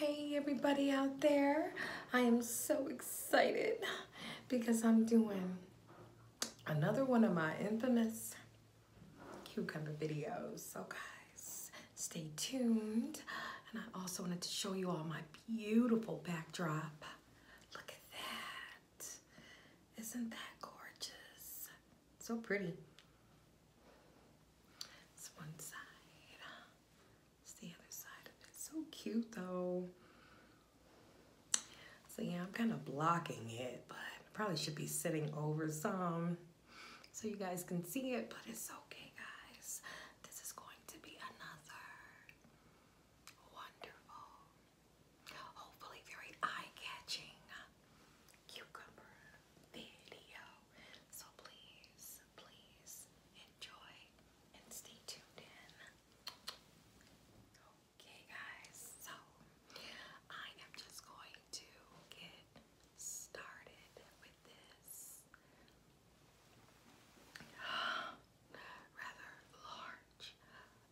Hey everybody out there. I am so excited because I'm doing another one of my infamous cucumber videos. So guys, stay tuned. And I also wanted to show you all my beautiful backdrop. Look at that is Isn't that gorgeous? So pretty. It's one side. It's the other side So cute though. So yeah, I'm kind of blocking it, but probably should be sitting over some so you guys can see it, but it's okay guys. This is going to be another wonderful hopefully very eye-catching cucumber video. So please, please enjoy and stay tuned in. Okay guys, so I am just going to get started with this rather large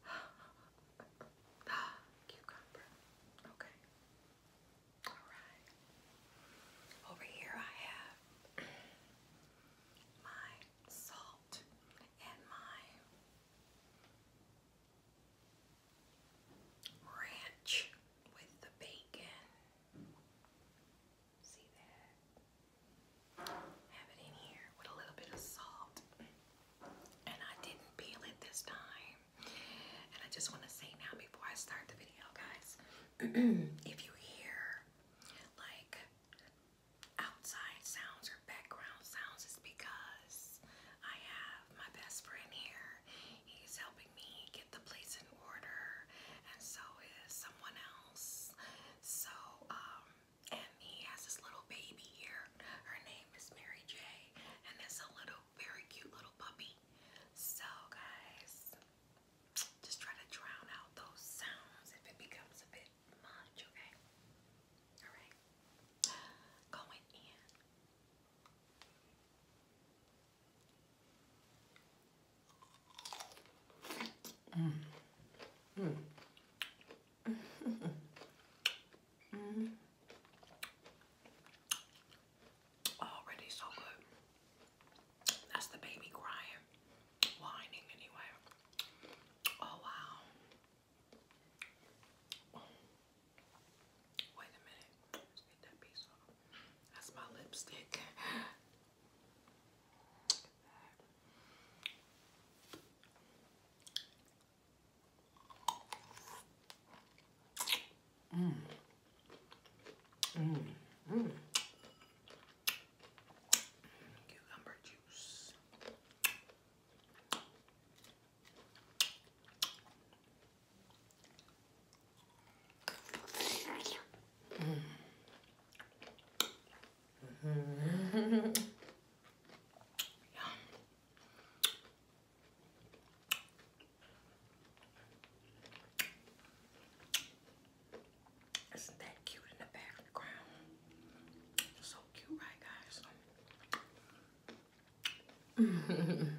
cucumber. Okay. Alright. Over here I have my salt and my ranch with the bacon. See that? Have it in here with a little bit of salt. And I didn't peel it this time. And I just want to say now before I start the video, guys, if you hear like outside sounds or background sounds, it's because I have my best friend here. He's helping me get the place in order, and so is someone else. So, um, and he has this little baby here. Her name is Mary J, and it's a little, very cute little puppy. So, guys, just try to drown out those sounds if it becomes a bit much, okay? Alright, going in. Mm. Mm. mm. Already so good. That's the baby crying, whining anyway. Oh wow. Wait a minute. Let's get that piece off. That's my lipstick. Look at that. Mm. Mm. Mm. Cucumber juice. Mm. Isn't that cute in the background? So cute, right, guys? -hmm.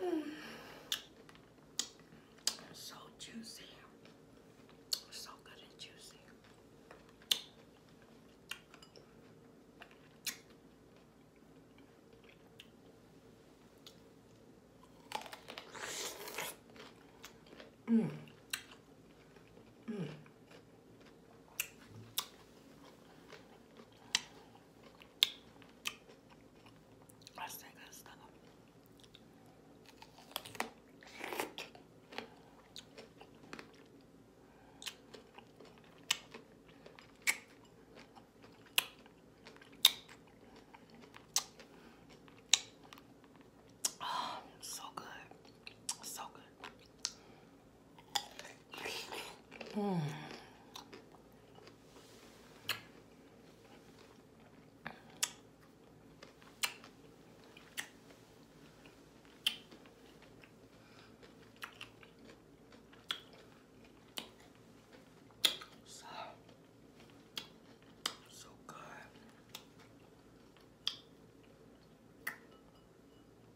Mm. So juicy. So good and juicy. Mm. Mm. I still got stomach. Oh, so good. So good. Mmm. so good.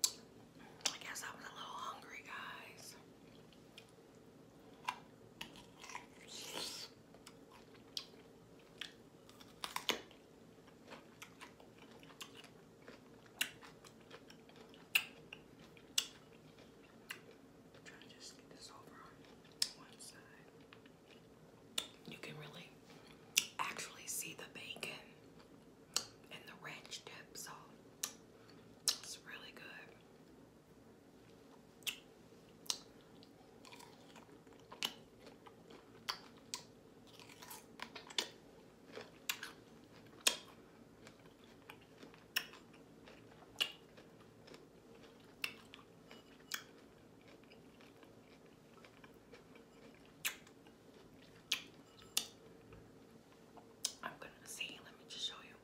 I guess I was a little hungry, guys i You can really actually see the bacon and the ranch dip, so it's really good. I'm gonna see, let me just show you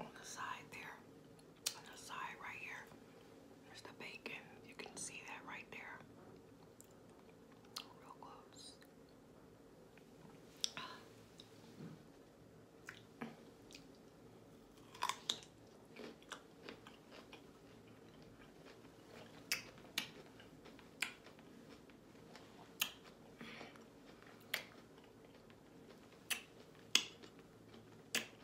on the side there on the side right here. There's the bacon. You can see that right there. Real close.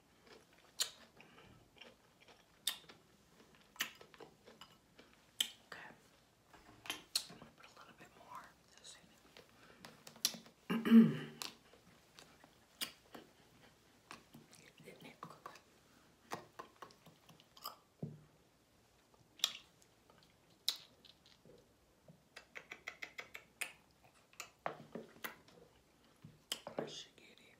Okay. I'm gonna put a little bit more. Let's get it.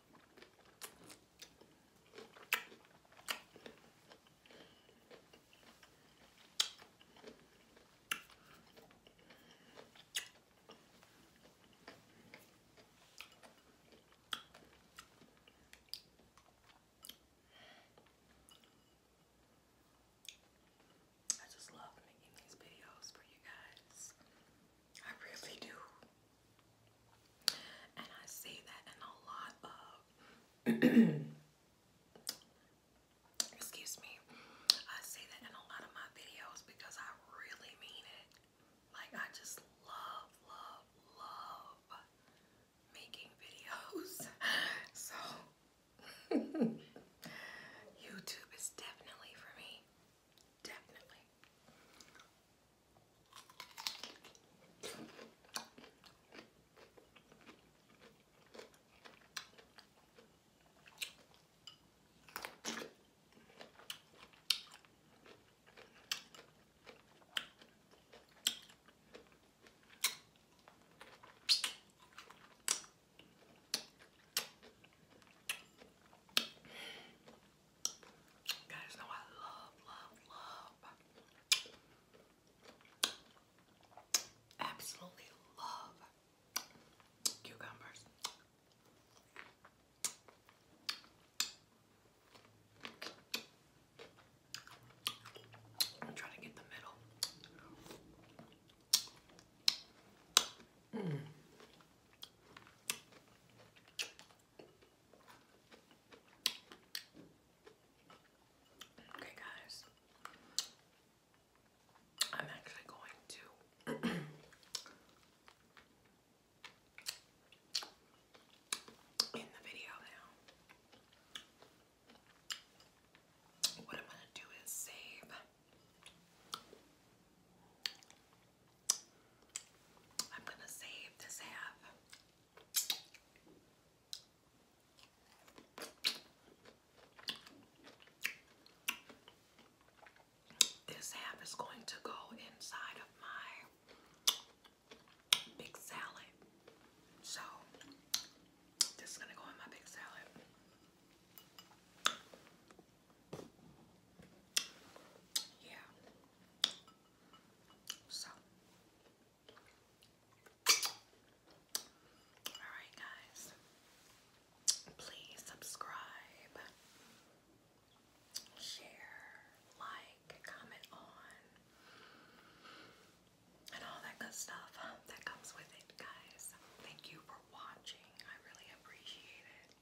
I just love making these videos for you guys. I really do. And I see that in a lot of excuse me. I see that in a lot of my videos because I really mean it. Like I just love, love, love making videos. so YouTube is definitely for me. Definitely guys know I love, love, love, absolutely love cucumbers. I'm trying to get the middle. Mm. Okay, guys, I'm actually going to. In the video now, what I'm going to do is save I'm going to save this half. This half is going to go inside of my big salad. So, this is going to go in my big salad yeah. So, alright, guys, please subscribe, share, like, comment on, and all that good stuff that comes with it, guys. Thank you for watching. I really appreciate it.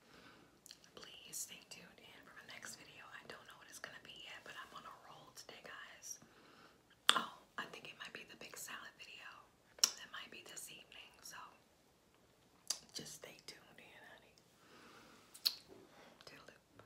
Please stay tuned in for my next video. I don't know what it's gonna be yet, but I'm on a roll today, guys. Oh, I think it might be the big salad video. That might be this evening, so just stay tuned in, honey. Toodaloo.